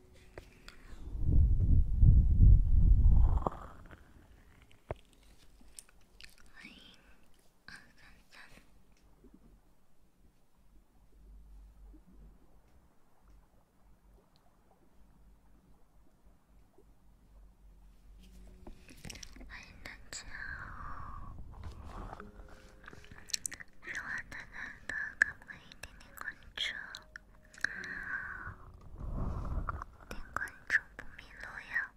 欢迎大家哦！喜欢大家的可不可以点点关注？点关注不迷路呀！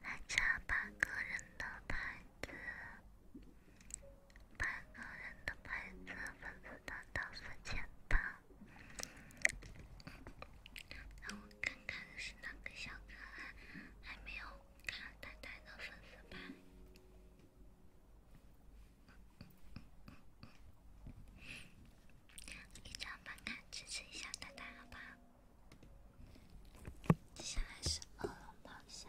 还差八个人的牌子，八个人的牌子，粉丝达到四千八。让我看看是哪个小可爱还没有看太太的粉丝牌。一张吧，支持一下大大，好不好？接下来是恶龙咆哮。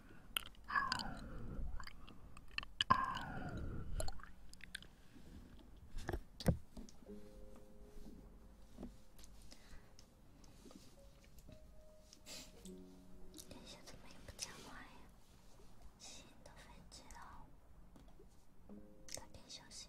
殿下怎么也不讲话呀？心都飞走了，早点休息。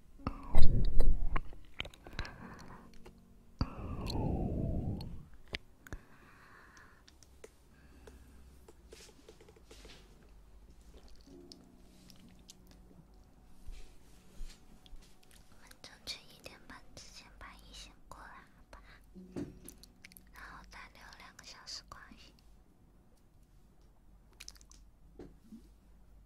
我争取一点半之前把一线过来，好吧？然后再聊两个小时关系。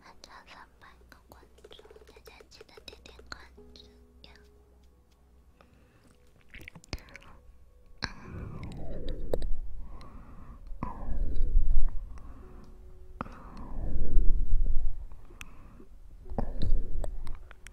还差三百个关注，大家记得点点关注呀！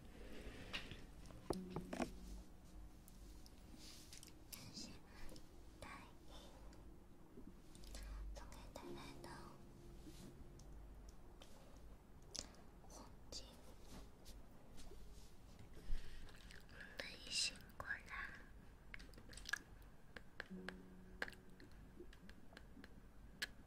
这是奶奶送给奶奶的红巾，你辛苦了。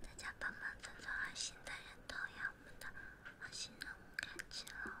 大家帮忙转转爱心的人头呀，我们的爱心任务完成了。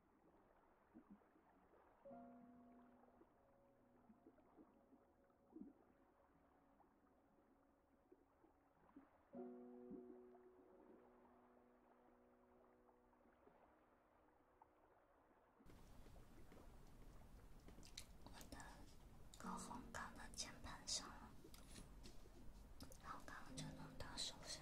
我的口红搞到键盘上了，然后刚刚就弄到手上。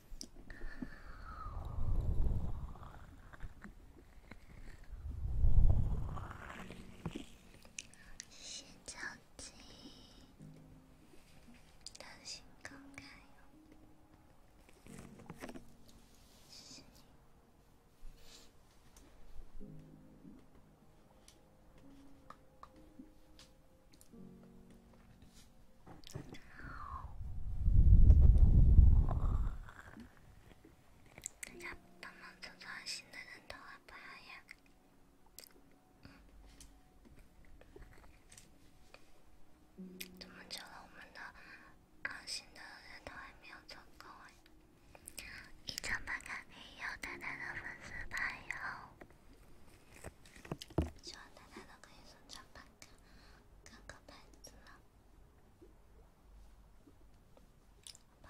先着急，担心公开。大家，他们做创新的人都好棒呀！这么久，我们的创新的人都还没有做够哎。一张半卡币，有淡淡的粉丝牌，有喜欢太太的可以送张半卡。各个牌子呢？好吧。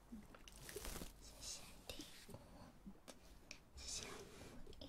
这些礼物，这些回忆。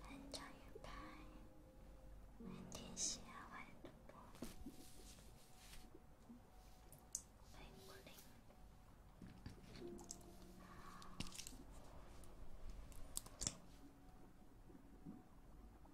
班长，女排，很贴心啊，很活泼，很果岭。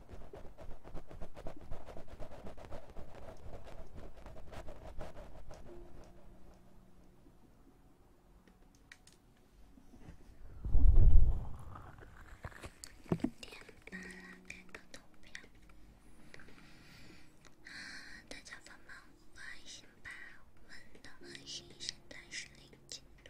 点半了，开个投票。大家帮忙五个爱心吧，我们的爱心现在是零进度。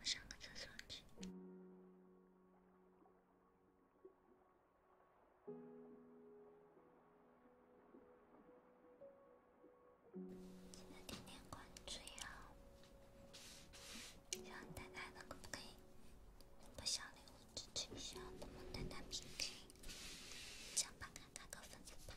我上个厕所去，记得点点关注哟。想大大都可以，不小礼物支持一下，萌萌大大 PK，想帮看看个粉丝榜。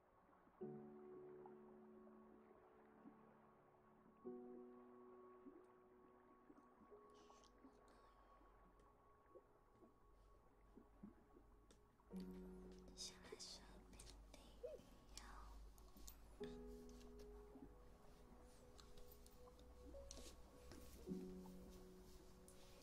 先来说遍地鱼妖。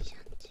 いシャンチ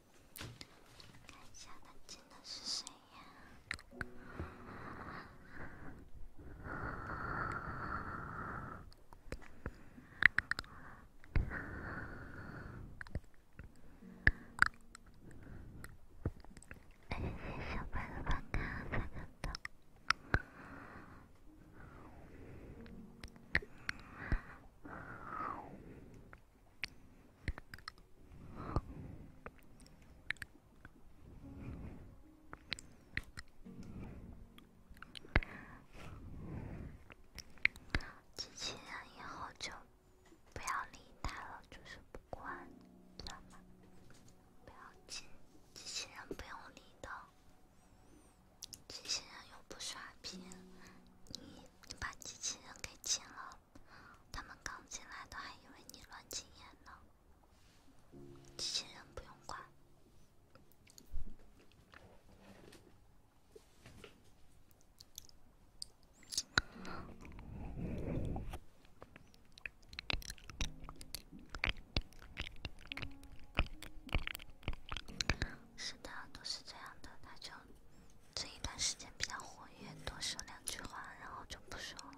看一下他真的是谁呀？谢谢小白的观看，三颗豆。机器人以后就不要理它了，就是不管，知道吗？不要紧，机器人不用理的，机器人又不刷屏，你。你把机器人给禁了，他们刚进来的还以为你乱禁言呢。机器人不用管。是的，都是这样的，他就。这一段时间比较活跃，多说两句话，然后就不说了。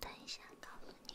等一下，告诉你。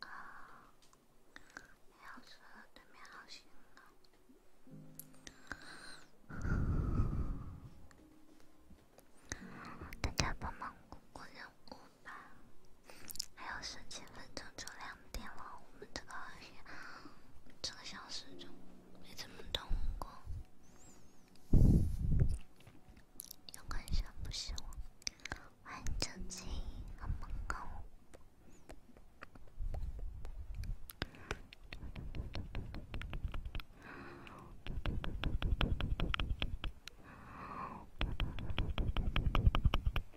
啊，喵子，对面好凶啊！大家帮忙过过任务吧。还有十七分钟就两点了，我们这个这个小时就没怎么动过，有个人不是我，玩手机很猛狗。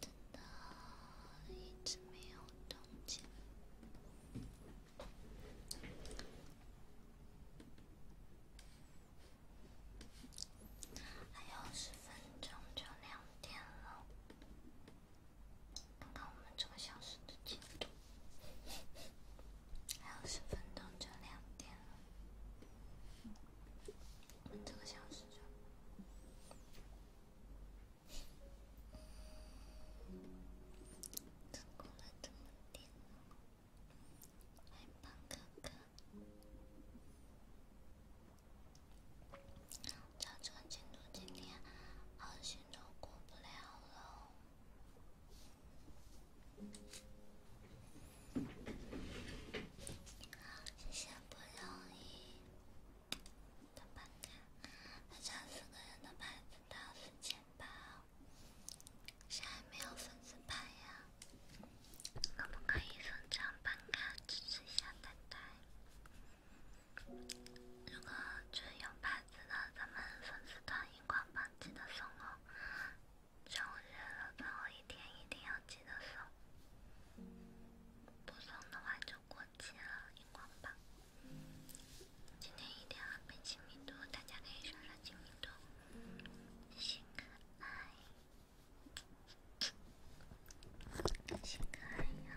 真的一直没有动静，还有十分钟就两点了。看看我们这个小时的进度，还有十分钟就两点了。这个小时就成功了这么点，还半个。造成进度今天好像都过不了了。好，谢谢，不容易。的办卡，大家四个人的牌子到四千八，谁还没有粉丝牌呀？可不可以送张办卡支持一下太太？如果只有牌子的，咱们粉丝团一冠榜记得送哦，终日了最后一天一定要记得送。不送的话就过期了，遗忘吧。今天一点还没亲密度，大家可以刷刷亲密度。星可爱，星可爱呀。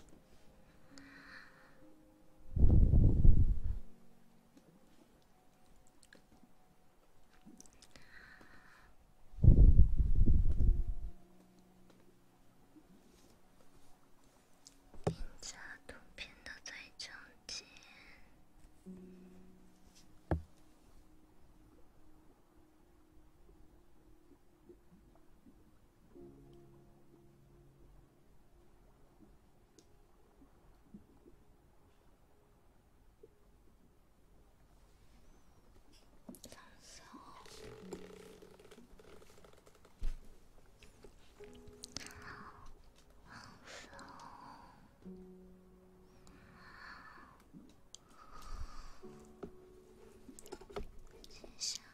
检查图片的最中间。放松，放谢。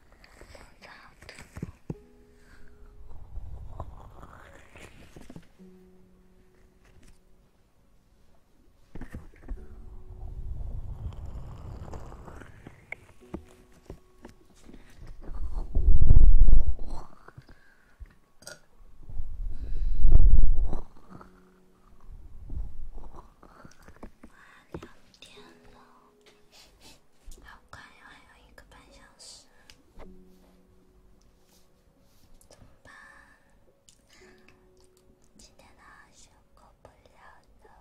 快两点了。好快呀，还有一个半小时，怎么办？今天呢，是过不了了。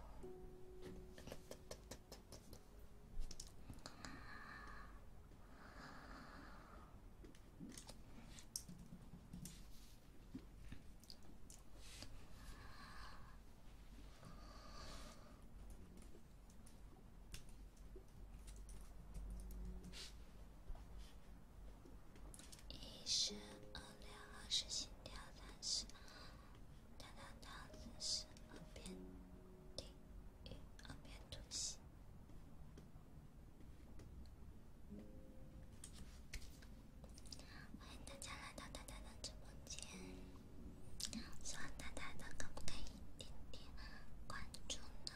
一十、二两、二十、心跳、三十、哒哒哒、四十、耳边、听、耳边、突袭。欢迎大家来到蛋蛋直播间，希望蛋蛋的可不可以点点关注呢？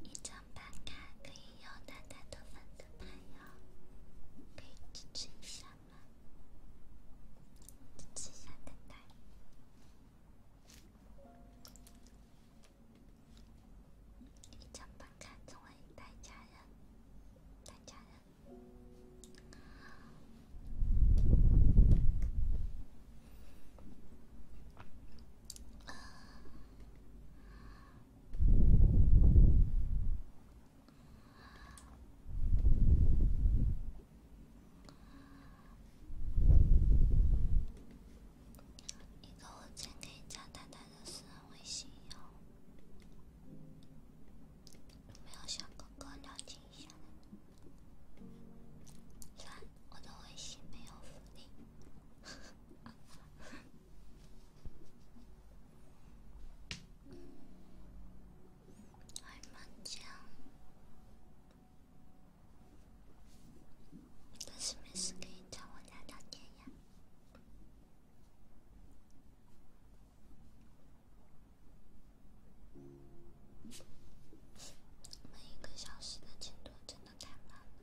一张板卡可以有蛋蛋的粉的牌哟，可以支持一下吗？支持一下蛋蛋，一张板卡成为蛋家人，家人。一个，我先给你加丹丹的私人微信哟。有没有小哥哥了解一下？算我的微信没有福利，爱麻将，但是没事可以找我聊聊天呀。每一个小时的进度真的太慢了。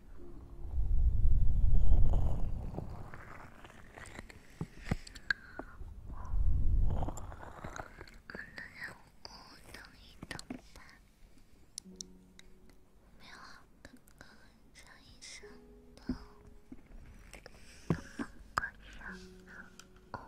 能让我等一等吗？没有好听的歌唱一首吗？好尴尬呀！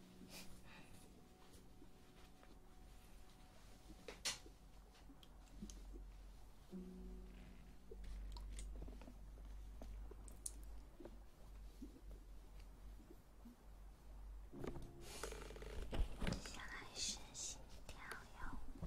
接下来是心跳哟。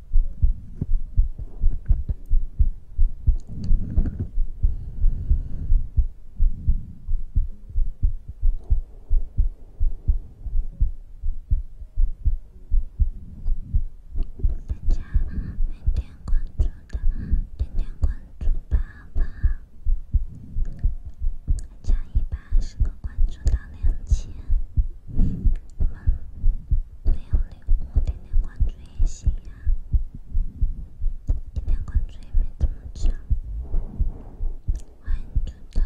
大家点点关注的，点点关注吧，好加一百二个关注到两千，八六六。我点点关注也行呀，点点关注也没怎么涨，关注的。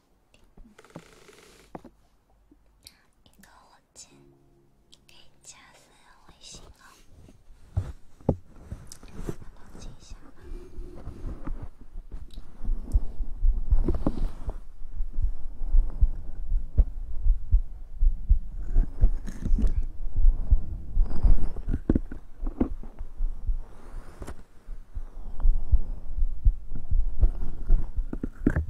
一个火箭可以加三个微信哦，我冷静一下吧。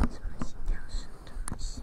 这些鸟声多响！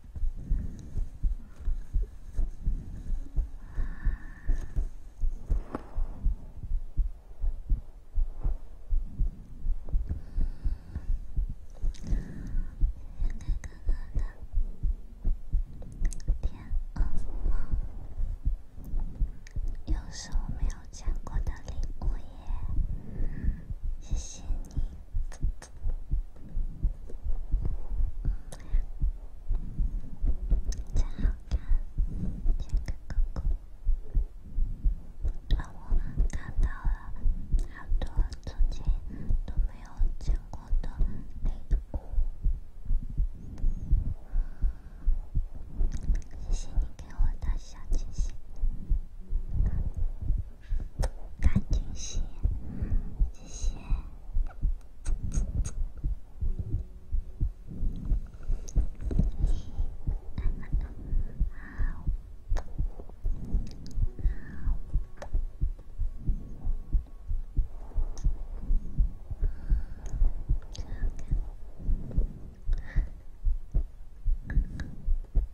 哥哥的，天，饿又是我没有见过的礼物耶！谢谢你。真好看，杰哥哥哥，让我看到了好多曾经都没有见过的雷图。谢谢你给我的小惊喜。大惊喜，谢谢。一，二，三，好，好，好看。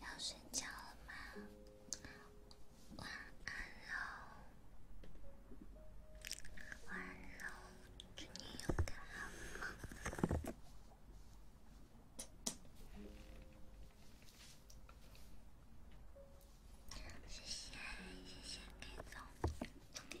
要睡觉了吗？晚安喽，晚安喽，祝你有个好梦。谢谢谢谢，K 总，送给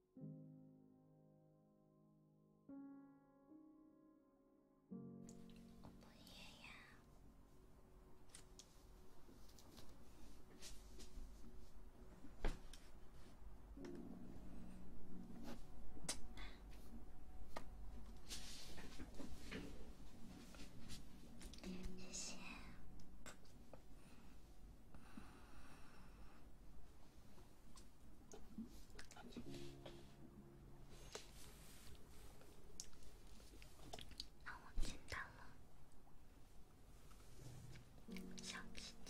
我不演呀。谢谢。让我看到了小鸡鸡。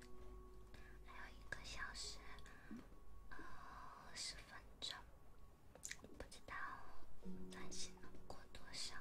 还有一个小时，呃，十分钟，不知道短信能过多少呢？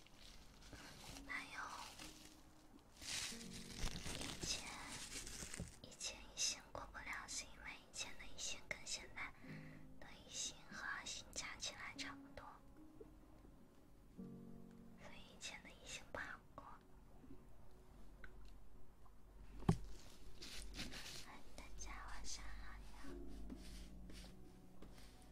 还有，以前，以前一星过不了，是因为以前的一星跟现在的星和二星加起来差不多，所以以前的一星不好过。大家晚上好。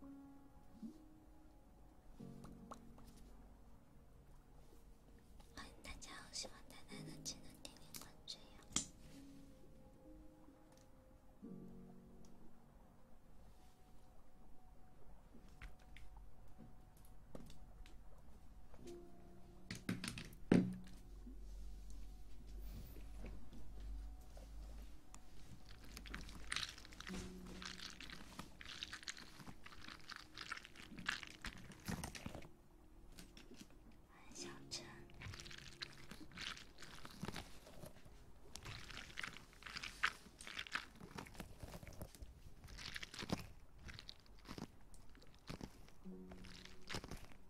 欢迎大家，喜欢呆呆的记得点点关注哟。安小陈。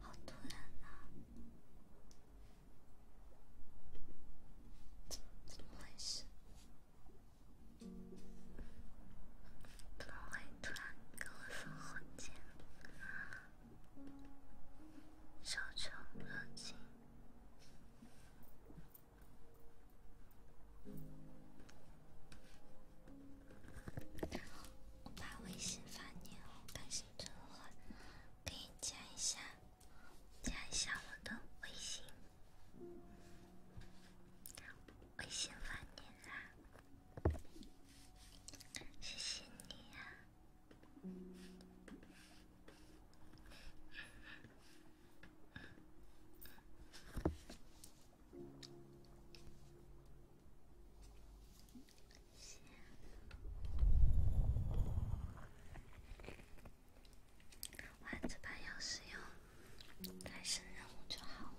好突然啊！怎么回事？怎么会突然跟我说火箭？手穷热心。我把微信发你哦，微信真好，可以加一下加小了的微信，微信发你啦，谢谢你呀。把这把钥匙用，开始任务就好了。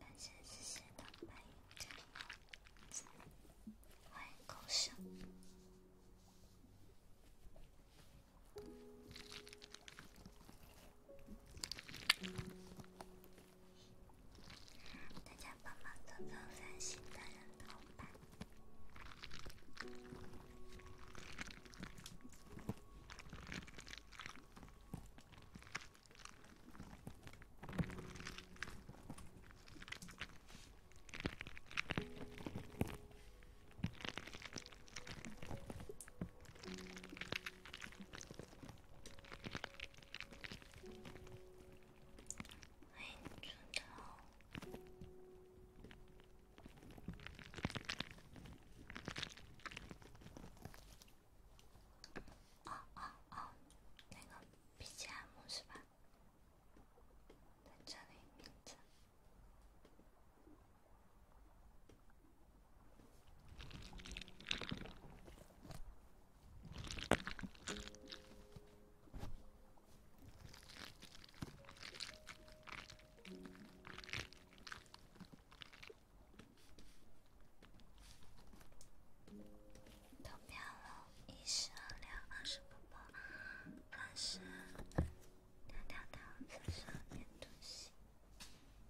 感谢谢谢的白油，欢迎狗熊。大家帮忙找到三星的人头吧。欢迎出道！啊啊啊！那个 BGM 是吧？在这里，名字。投票了，一十二两，二十五八，三十，两条桃子，十二点东西。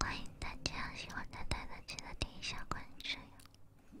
欢迎大家，喜欢太太的记得点一下关注哟。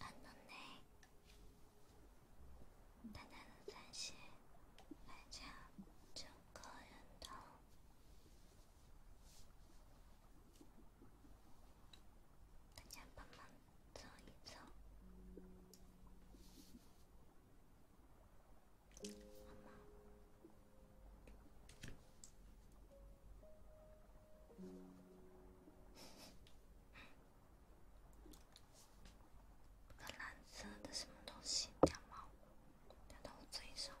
安暖内，淡淡的叹息，害得整个人都……大家帮忙走一走，好吗？一个蓝色的什么东西掉毛，掉到我嘴上了。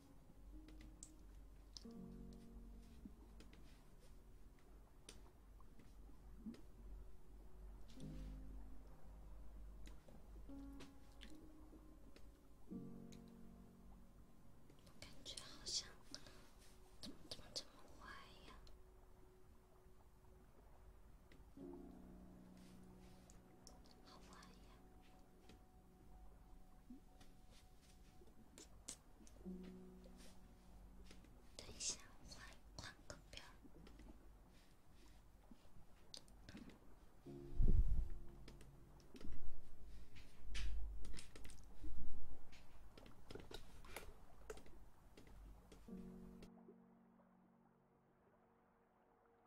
感觉好像怎么怎么这么坏呀？好坏呀！等一下，换换个边儿。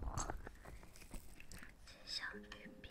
好，吃小月饼。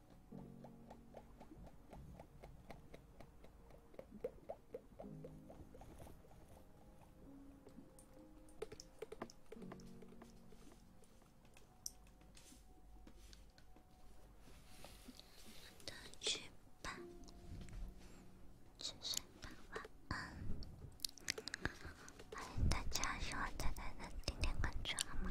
都去吧，十岁晚安。欢迎大家喜欢姐姐的，点点关注好吗？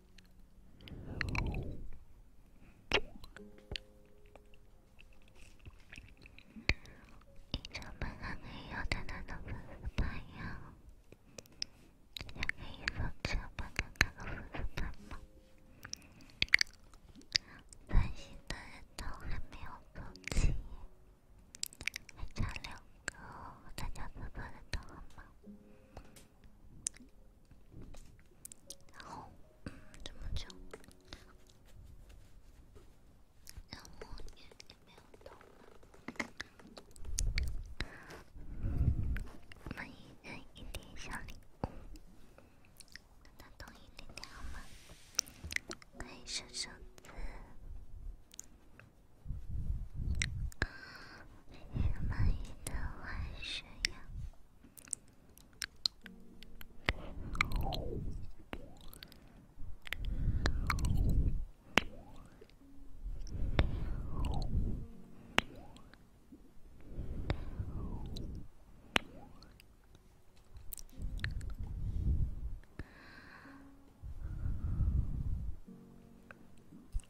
已经八个摇的那都不是朋友，两个摇出八个都不是朋友。三星的人都还没有放弃，还差两个，大家不觉得好吗？然后，这么久，然后也没有动了。每一人一点小礼物，让他动一点点好吗？可以收收字。有满意的晚上呀。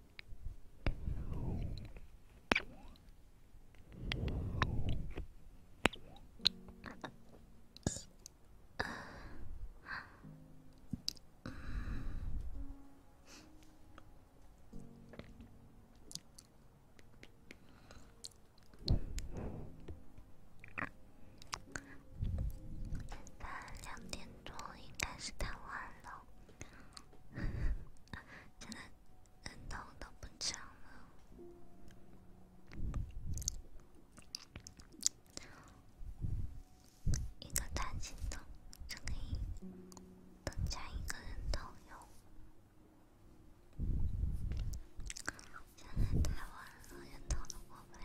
现两点多，应该是太晚了。现在人头都不涨了，一个弹性的就可以增加一个人头哟。现在太晚了，人头都过不了。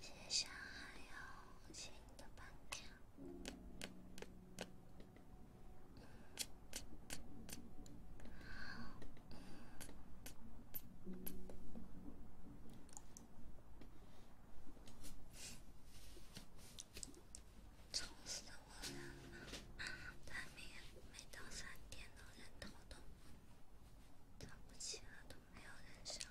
谢谢海洋，谢谢你的伴娘。愁死我了！半夜每到三点都人头动，早不起了都没有人声。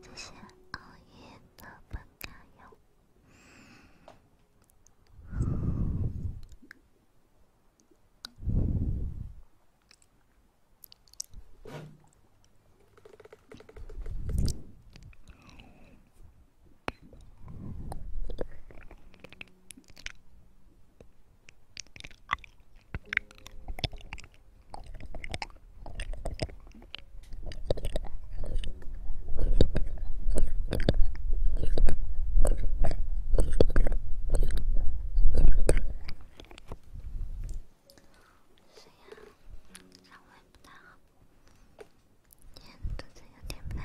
这些熬夜都不管用。谁呀？肠胃不太好，今天肚子有点不太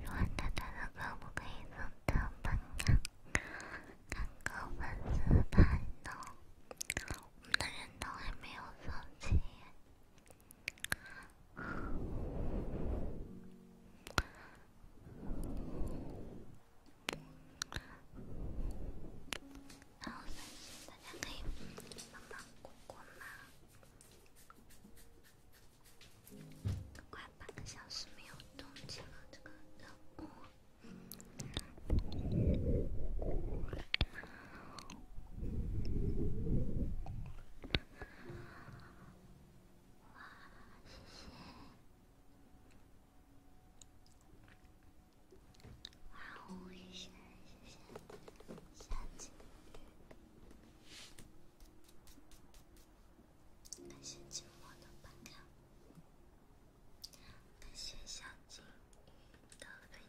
软哒哒的，可不可以放到本子？看个文字版的，我们的人都还没有收齐。然后，大家可以帮忙过过吗？快半个小时没有动静了，这个任务。哇，谢谢！万物一谢谢，小金，感谢寂寞的白条，感谢小金鱼的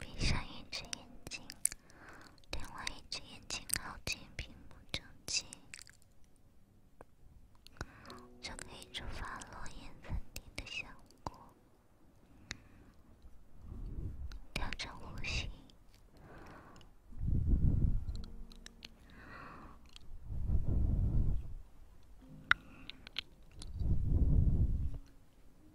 闭上一只眼睛。另外一只眼睛靠近屏幕中心，就可以触发落叶纷飞的效果。调整呼吸。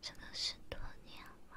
这个是多年吗？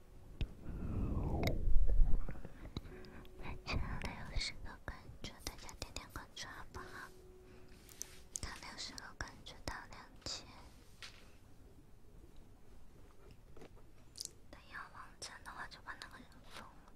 加六十个关注，大家点点关注好不好？加六十个关注到两千。等要网站的话，就把那个人封了。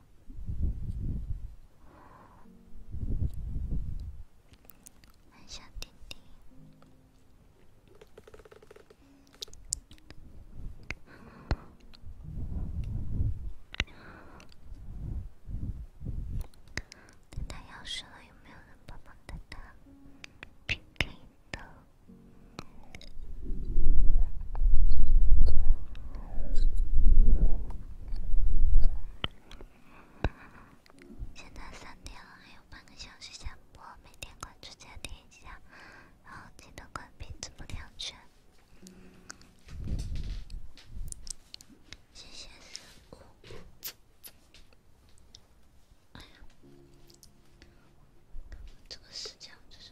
小弟弟，他要死了，有现在三点了，还有半个小时下播，每天关注加点一下，然后记得关闭直播亮圈，谢谢。这个时间就是。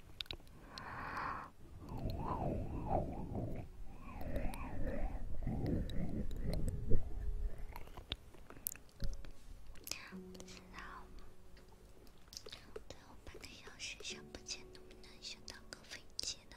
然后，最后半个小时想不见，能不能想到个飞机呢？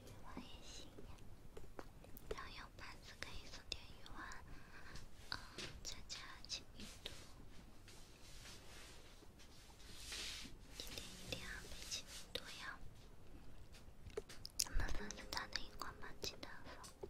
鱼丸也行呀，然后用盘子可以盛点鱼丸，呃，加加知名度，一定一定要配知名度呀。咱们粉丝团的鱼丸，不知道放。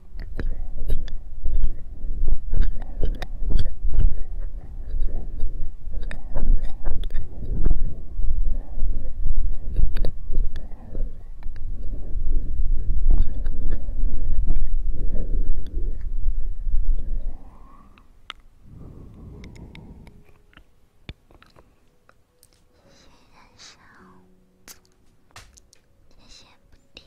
谢谢燃烧，谢谢不提。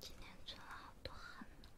今天做了好多汗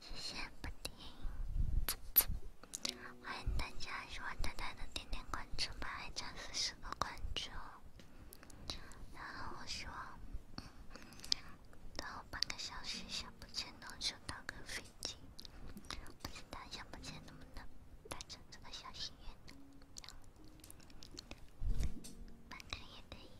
谢谢布丁，欢迎大家喜欢蛋蛋的点点关注吧，加四十个关注。然后我希望。等我半个小时，想不见能收到个飞机，不知道想不见能不能达成这个小心愿，分开也可以。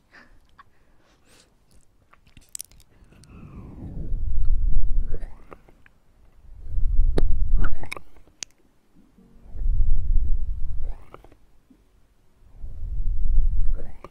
对。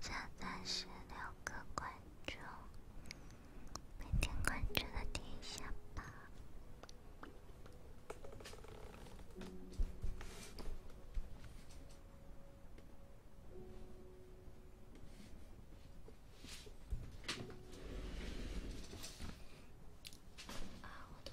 下三十六个怪。就每天关注它一下吧。啊，我的。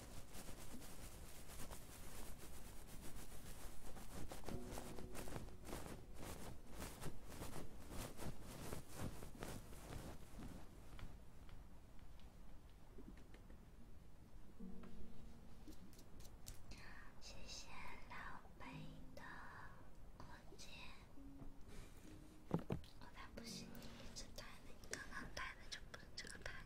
谢谢老北的过节。不是你一直待的，你刚刚待的就不是这个台。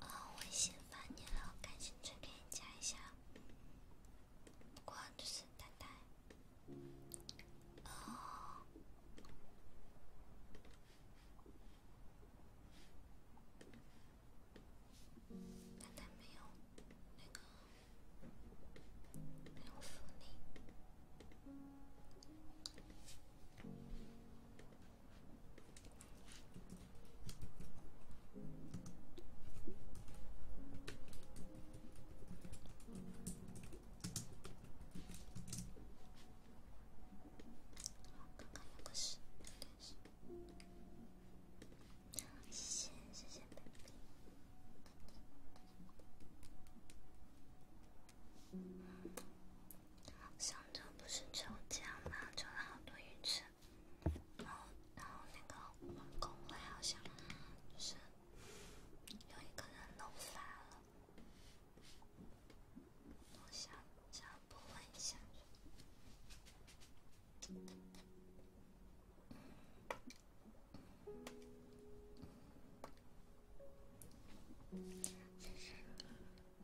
呃，我先发你了，我赶紧去给你加一下。不过就是丹丹，哦，丹丹没有那个没有福利。刚刚有个事，有点事。谢谢谢谢，baby。上周不是抽奖吗？抽了好多鱼吃。然后，然后那个工会好像就是有一个人漏发了，我想想不问一下。谢谢。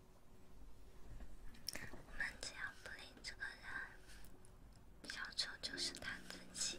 我们只要不理这个人，小丑就是他自己。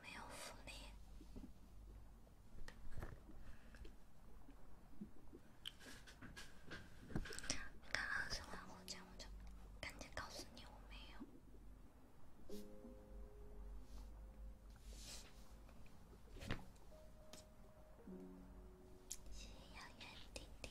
没有福利，看二十万火箭我就赶紧告诉你，我没有。谢谢遥远弟弟。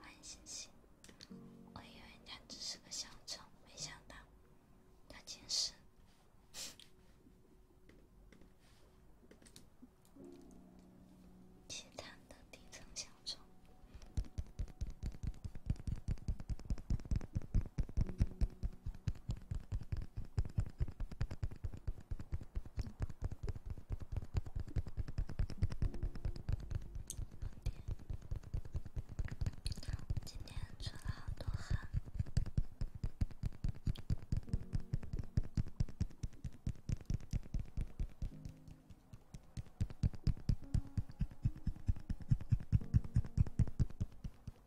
欢迎星星，我以为他只是个小丑，没想到他竟是凄惨的底层小丑。今天出了好多汗。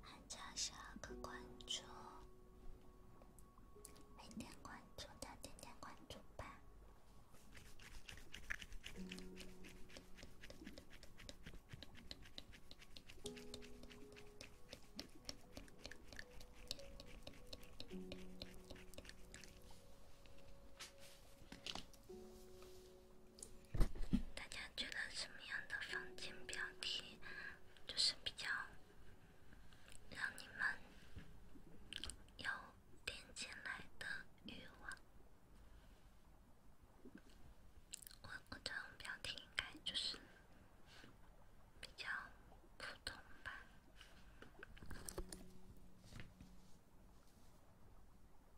还差十二个关注，没点关注的点点关注吧。大家觉得什么样的房间标题就是比较让你们有点进来的欲望？我我的标题应该就是比较普通吧。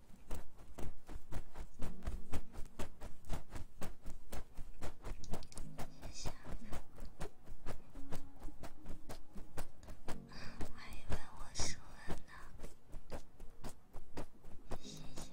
谢谢，还以为我是蚊呢。谢谢。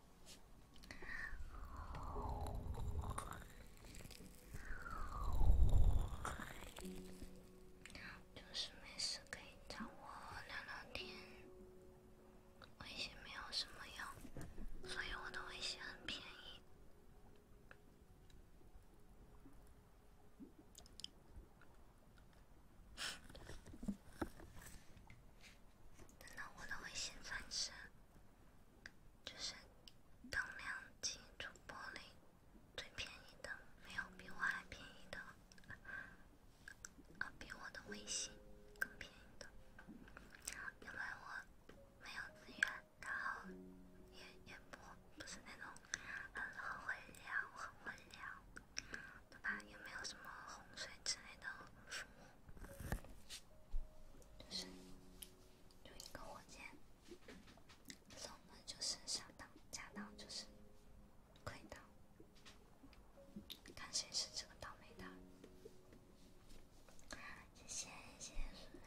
就是没事可以找我聊聊天，微信没有什么用，所以我都微信很便宜。等到我的微信翻身，就是当两级主播里最便宜的，没有比我还便宜的，啊，比我的微信更便宜的，因为我没有资源，然后也也不不是那种很会聊、很会聊，对吧？也没有什么洪水之类的。服务。就是有一个火箭，然后就是上当、假当、就是亏当，看谁是这个倒霉的。谢谢谢谢素人，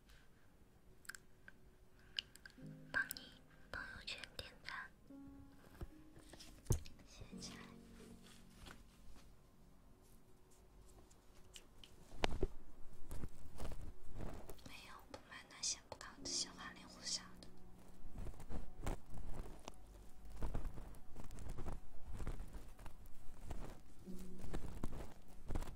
帮你朋友圈点赞。写起来。没有，不买那些广告，那些花里胡哨的。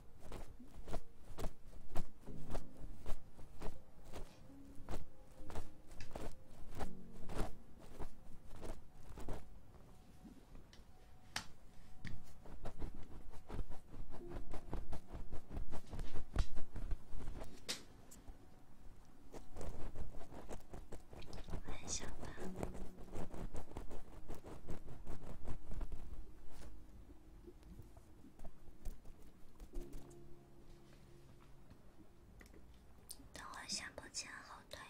我很想他们。等会儿下播前好多人。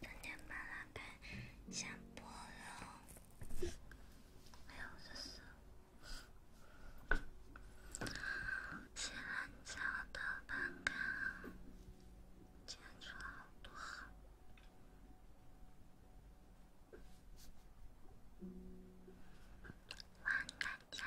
昨天买了瓶香波用，在我的肩膀，结出了好多汗。晚安，家。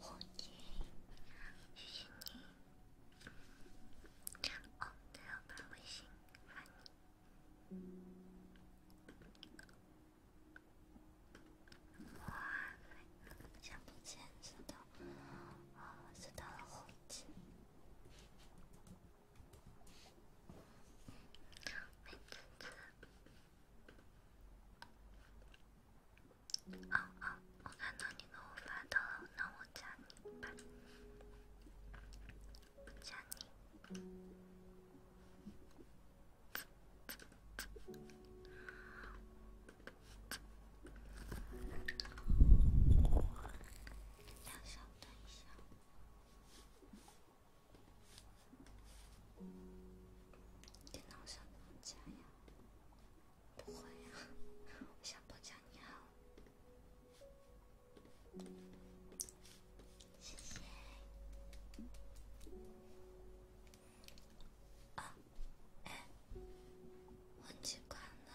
火箭，谢谢你。哦，我要把微信发你。哇，橡皮筋知道，啊，知道了火箭。美滋滋。哦哦，我看到你给我发到了，那我加你吧。加你。大小，等一下。电脑上怎么加呀？不会啊，小宝讲你好，谢谢啊，哎，忘记关了。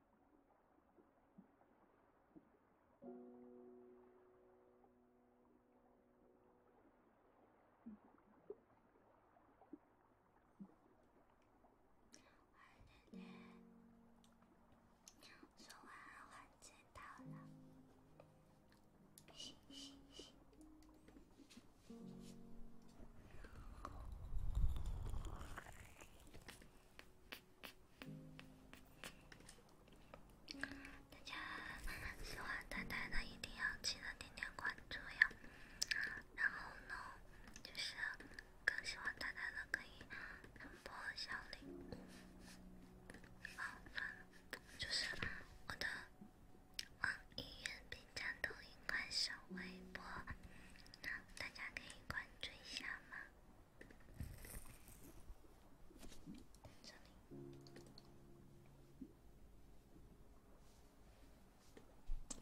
坏姐姐，说完我知道了。嘻嘻嘻。大家喜欢呆呆的，一定要记得点点关注呀！然后呢，就是更喜欢呆呆的可以点播小铃。哦，算了，就是我的啊，音乐、B 站、抖音、快手、微博，大家可以关注一下吗？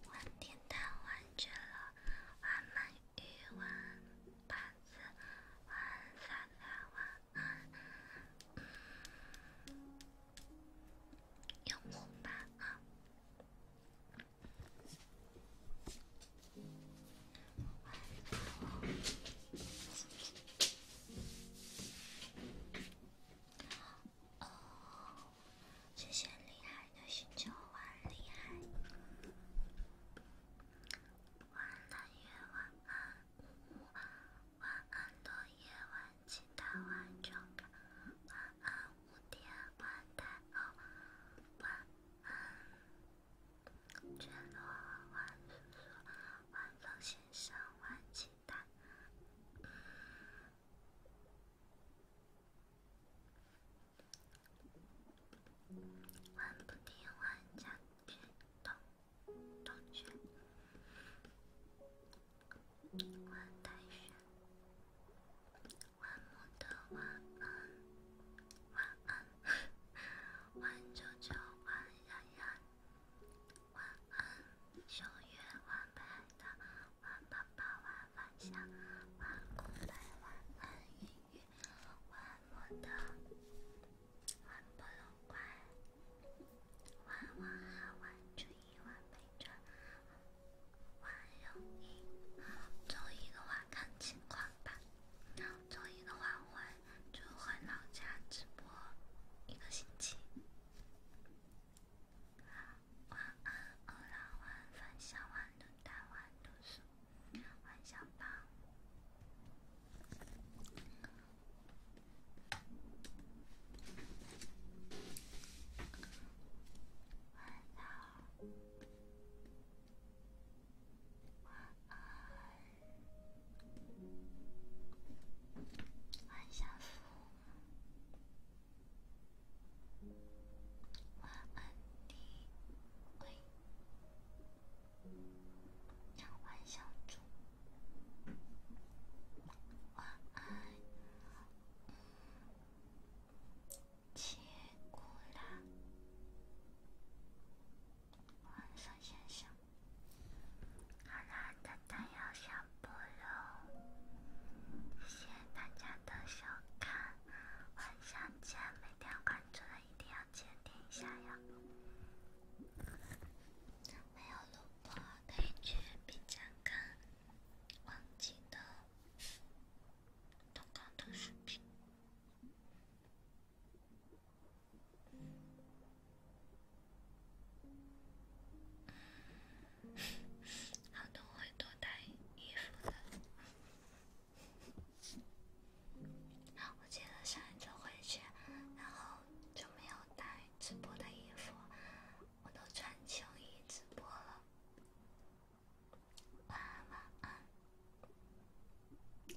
玩点蛋，玩绝了！玩鳗鱼，玩板子，玩三三玩。用我吧啊！哦，谢谢厉害的星球，晚厉害。晚安夜，晚安午，晚安的夜晚，期待完整感。晚安午天，晚安好晚安。卷落晚风，晚风晚鸡蛋，晚不听，晚晚安，晚安。晚啾啾，晚冉冉，晚安。九月晚拍的，晚宝宝晚分享，晚过来晚安音乐，晚我的，晚不晚。晚晚好，晚注意，晚备注，晚容易，走一个晚看情况吧。周一的话，我会就回老家直播一个星期。晚安，欧拉晚分享晚的晚读书，晚相伴，晚安。晚安，晚小福，晚安，弟，喂，晚小猪，晚安，起过来。晚上先生，好了，今天要下播喽，谢谢大家的收看，晚上见！没订阅关注的一定要点点一下呀。没有录过，感觉比较干，忘记的投稿的视频。好的，会多带衣服的。我记得上一次回去，然后就没有带直播的衣服，我都穿秋衣直播了。晚安，晚安。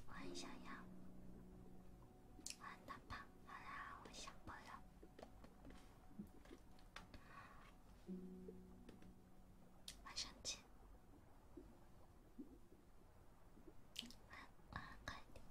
我很想要，我很大胖。好啦，我下播了，晚上见。啊啊，快点！